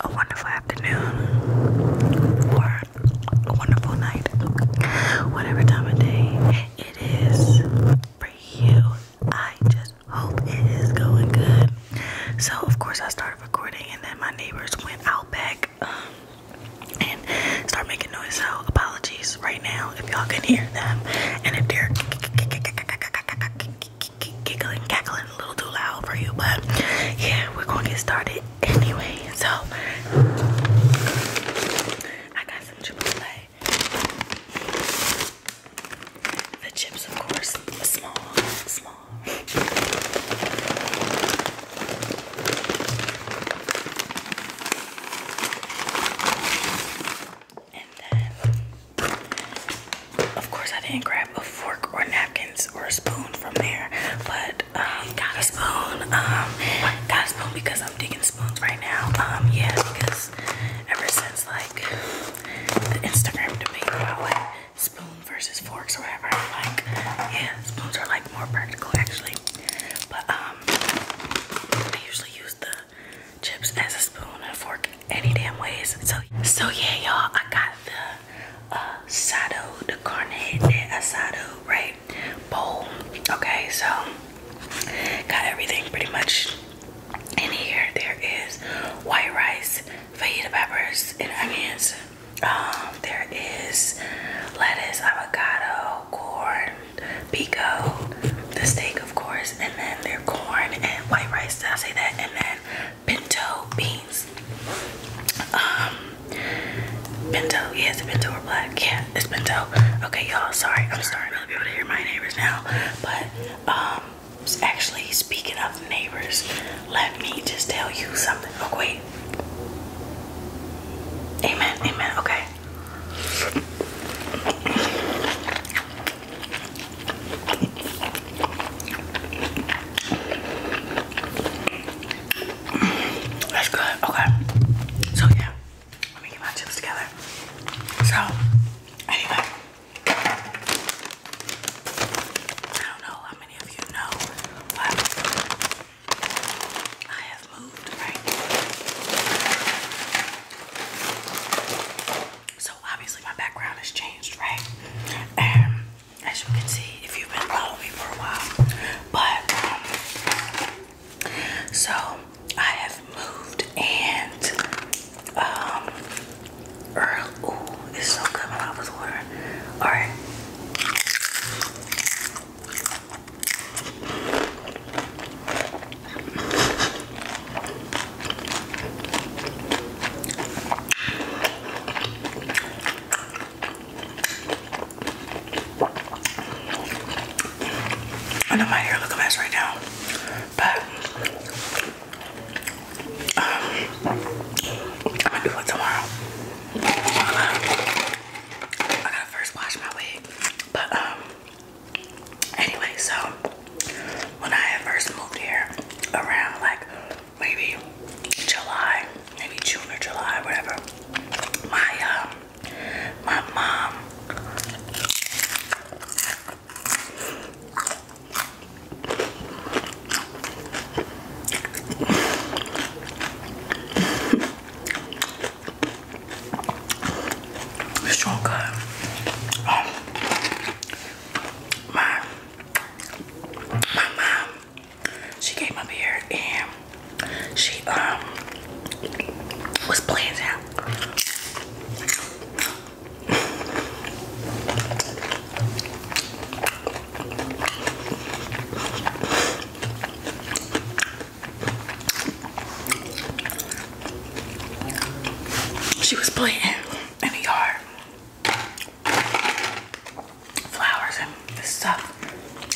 a wonderful afternoon or a wonderful night, whatever time of day it is for you. I just hope it is going good. So, of course, I started recording, and then my neighbors went out back um, and started making noise. So, apologies right now if y'all can hear them, and if they're giggling, cackling a little too loud for you, but yeah, we're gonna get started anyway. So, I got some Chipotle. The chips, of course, small, small. And then of course I didn't grab a fork or napkins or a spoon from there, but um, got a spoon. Um, got a spoon because I'm digging spoons right now. Um, yeah, because ever since like the Instagram debate about spoon versus forks or whatever, like yeah, spoons are like more practical actually. But um, I usually use the chips as a spoon and a fork any damn ways. So so yeah, y'all, I got the uh, asado, the carne de asado, right? Bowl. Okay, so got everything pretty much in here. There is white rice, fajita peppers, and onions. Um, there is lettuce, avocado, corn, pico, the steak, of course, and then there's corn and white rice. Did I say that? And then bento beans. Um, bento, Yes, it's bento or black. Yeah, it's bento. Okay, y'all, sorry. I'm starting to be able to hear my neighbors now. But, um, actually, speaking of neighbors, let me just tell you something. Oh, wait. Amen, amen, okay. That's good. Okay. So yeah, let me get my chips together. So anyway, I don't know how many of you know, but I have moved, right? So obviously my background has changed, right? And as you can see if you've been following me for a while. But um, so I have moved and um Earl it's so good when I was Alright. I know my hair look a mess right now, but um, I'm gonna do it tomorrow. I gotta first wash my wig, but um, anyway, so when I first moved here around like maybe July, maybe June or July, whatever. My um, my mom it's so good. my my mom, she came up here and she um was playing She was playing in the yard flowers and stuff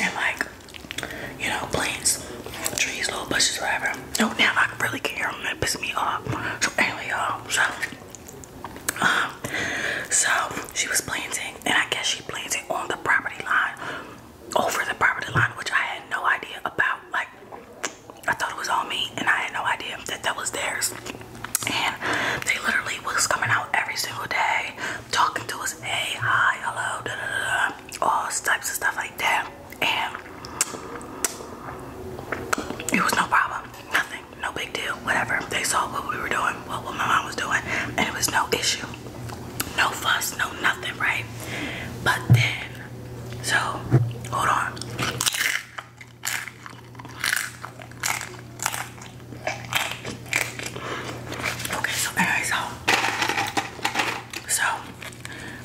and like you know plants trees little bushes whatever no oh, now i really care i'm gonna piss me off so anyway y'all so um so she was planting and i guess she planted on the property line over the property line which i had no idea about like i thought it was on me and i had no idea that that was theirs and they literally was coming out every single day talking to us hey hi hello da, da, da, da, all types of stuff like that and it was no problem nothing no big deal whatever they saw what we were doing what, what my mom was doing and it was no issue no fuss no nothing right but then so hold on Okay, so anyway, so so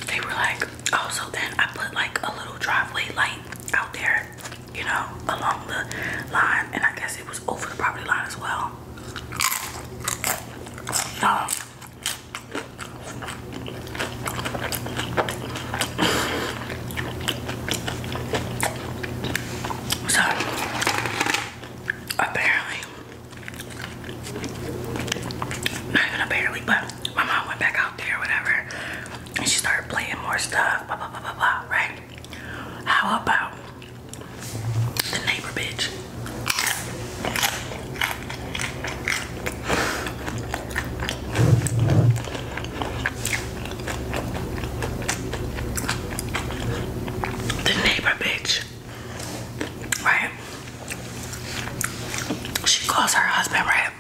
they were like, oh, so then I put like a little driveway light out there, you know, along the line, and I guess it was over the property line as well. Um, so apparently, not even apparently, but my mom went back out there whatever and she started playing more stuff, blah, blah, blah, blah, blah, right? How about the neighbor bitch? The neighbor bitch, right? She calls her husband, right?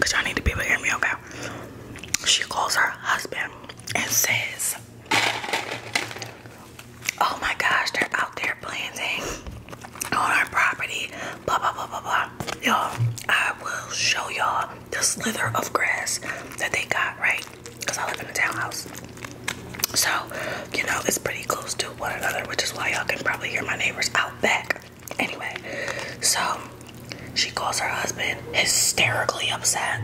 Cause y'all need to be able to hear me, okay? She calls her husband and says, Oh my gosh, they're out there planting on our property blah blah blah blah blah. Y'all, I will show y'all the slither of grass that they got, right? Because I live in a townhouse. So, you know, it's pretty close to one another, which is why y'all can probably hear my neighbors out back. Anyway, so she calls her husband hysterically upset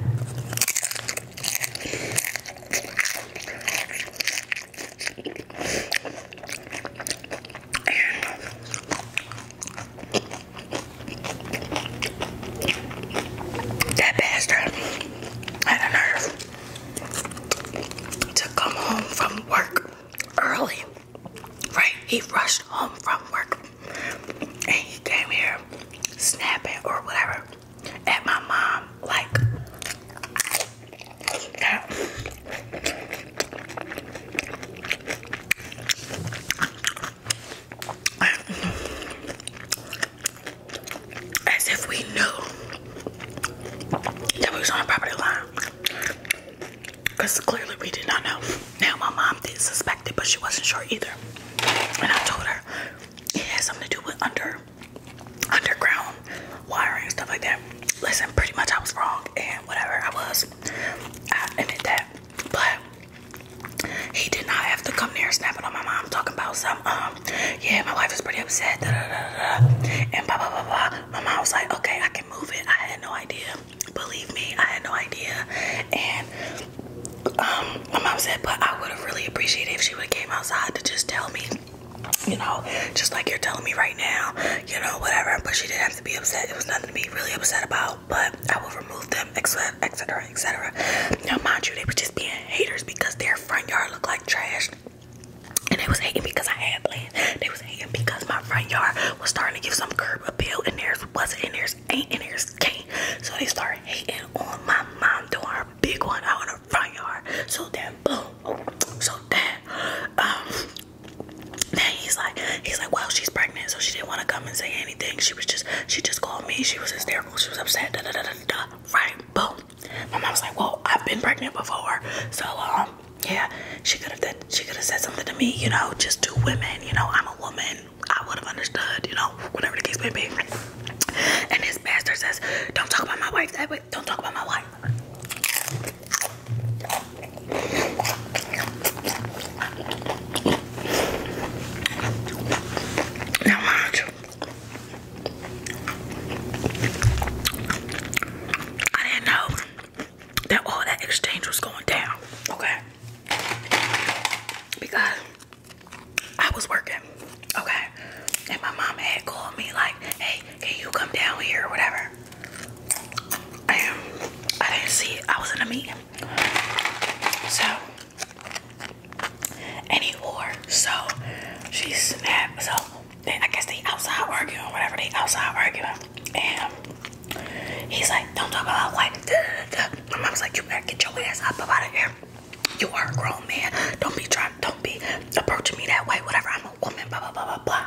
that bastard had a nerve to come home from work early. Right? He rushed home from work and he came here snapping or whatever at my mom like as if we knew that we was on a property line. Because clearly we did not know. Now my mom did suspect it, but she wasn't sure either. And I told her it had something to do with under underground wiring and stuff like that. Listen, pretty much I was wrong and whatever I was. I admit that. But he did not have to come near snapping on my mom talking about some um yeah my wife is pretty upset and blah blah blah My mom was like, okay, I can move it. I had no idea. Believe me, I had no idea. And um, my mom said, but I would have really appreciated if she would have came outside to just tell me you know, just like you're telling me right now, you know, whatever. But she did to be upset. It was nothing to be really upset about, but I will remove them, etc., etc., etc. Now, mind you, they were just being haters because their front yard looked like trash. And they was hating because I had land. They was hating because my front yard was starting to give some curb appeal, and there's wasn't, and theirs ain't, and there's can't. So they started hating on my mom doing her big one out in her front yard. So then, boom. So then, now he's like, he's like, well, she's pregnant, so she didn't want to come and say anything. She was just, she just called me. She was hysterical. She was upset. Da da da da da. Right? Boom. My mom's like, well, I've been pregnant before, so um, yeah, she could have she could have said something to me, you know, just two women, you know, I'm a woman. I would have understood, you know, whatever the case may be. And this pastor says, don't talk about my wife that way. Don't talk about my wife. Now watch. I didn't know that all that exchange was going down, okay? Because I was working, okay? And my mom had called me like, hey, can you come down here or whatever? And um, I didn't see I was in a meeting. So, and So, she snapped. So, I guess they outside arguing, whatever. They outside arguing. And he's like, don't talk about white. duh, duh. My mom's like, you better get your ass up out of here. You are a grown man. Don't be trying, don't be approaching me that way, whatever. I'm a woman, blah, blah, blah, blah, blah.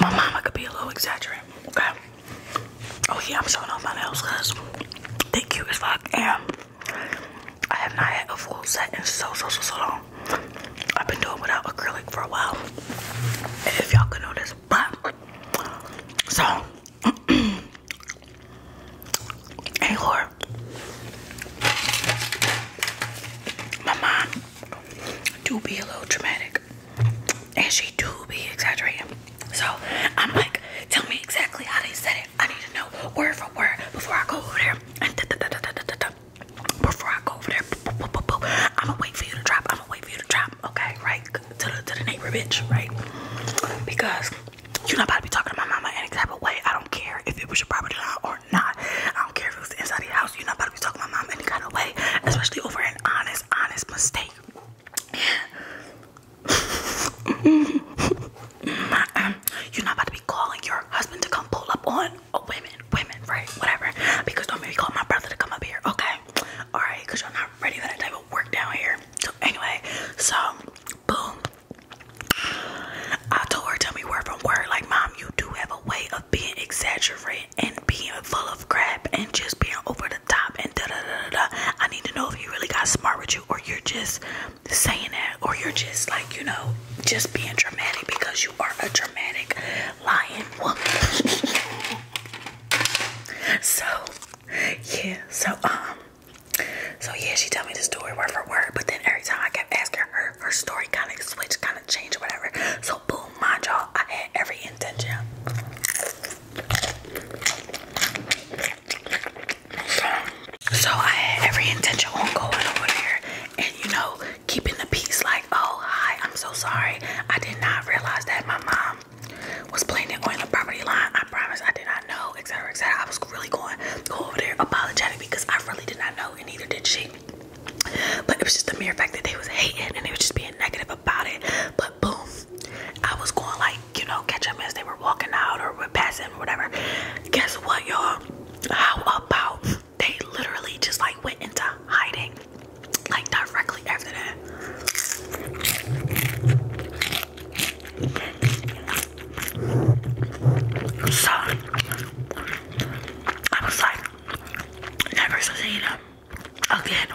My mama could be a little exaggerating, okay? Oh yeah, I'm showing off my nails because they cute as fuck and I have not had a full set in so so so so long. I've been doing without acrylic for a while. If y'all could notice, but so hey Lord. My mom do be a little dramatic and she do be exaggerating. So I'm like, tell me exactly how they said it. I need to know word for word before I go over there. And da, da, Before I go over there, I'm gonna wait for you to drop. I'm gonna wait for you to drop, okay? Right to the to the neighbor bitch, right? Because you're not about to be talking to my mama any type of way. I don't care if it was your property or not. I don't care if it was inside the house. You're not about to be to my mom any kind of way, especially over an honest, honest mistake. You're not about to be calling your husband to come pull up on women, women, right? Whatever. Because don't maybe call my brother to come up here, okay? Alright, because you're not ready for that type of work down here. So, anyway, so boom. I told her, tell me word from word, like, Mom, you do have a way being exaggerated and being full of crap and just being over the top and da da da da. da. I need to know if you really got smart with you or you're just saying that or you're just like, you know, just being dramatic because you are a dramatic lying woman. so, yeah, so, um, so yeah, she told me the story word for word, but then every time I kept asking her, her story kind of switched, kind of changed, whatever. So, boom, mind y'all, I had every paying So I had every intention on going over there and you know, keeping the peace like, oh hi, I'm so sorry. I did not realize that my mom was planning on the property line. I promise I did not know, etc. etc. I was really going go over there apologetic because I really did not know and neither did she. But it was just the mere fact that they was hating and they was just being negative about it. But boom, I was going like, you know, catch them as they were walking out or were passing or whatever. Guess what, y'all? How about they literally just like went into hiding like directly after that? So I was like, never seen them again.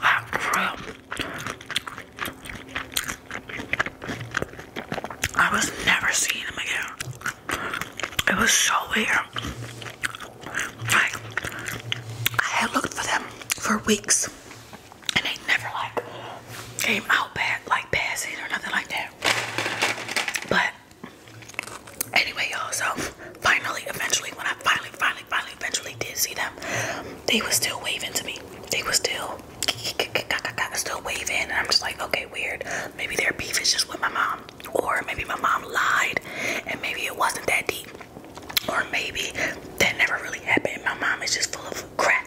Wow, ah, for I was never seeing him again. It was so weird. I had looked for them for weeks and they never like came out bad, like passing or nothing like that. But Anyway, y'all, so finally, eventually, when I finally, finally, finally, eventually did see them, they were still waving to me. They were still, still waving, and I'm just like, okay, weird. Maybe their beef is just with my mom, or maybe my mom lied, and maybe it wasn't that deep, or maybe that never really happened. My mom is just full of crap.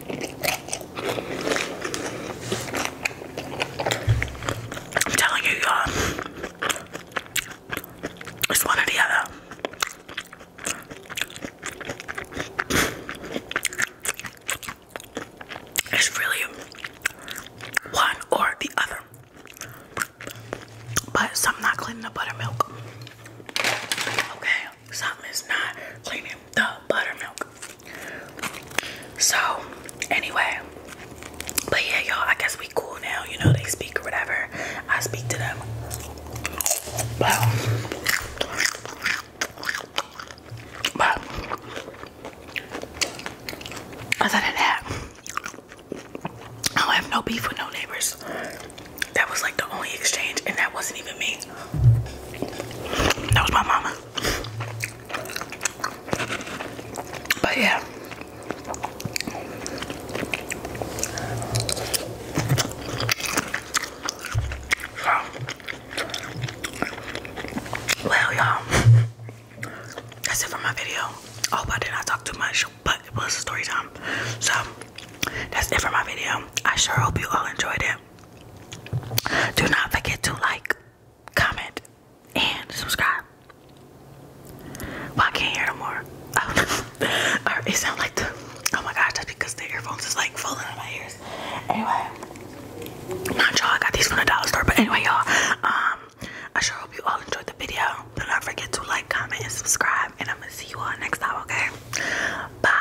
I'm telling you, y'all, it's one or the other. It's really one or the other. But something not cleaning the buttermilk. Okay, something is not cleaning the buttermilk. So, anyway, but yeah, y'all, I guess we cool now. You know, they speak or whatever. I speak to them. But, but other than that, I have no beef with no neighbors. That was like the only exchange, and that wasn't even me. That was my mama. But yeah. Well, y'all, that's it for my video. Hope I did not talk too much? But it was story time. So, that's it for my video. I sure hope you all enjoyed it. Do not forget to like, comment, and subscribe. Well, can't hear more. Oh, it sounds like the oh my gosh, that's because the earphones is like falling out my ears. Anyway, not y'all. got these from the dollar store, but anyway, y'all. Um, I sure hope you all enjoyed the video. Do not forget to like, comment, and subscribe. And I'm gonna see you all next time. Okay, bye.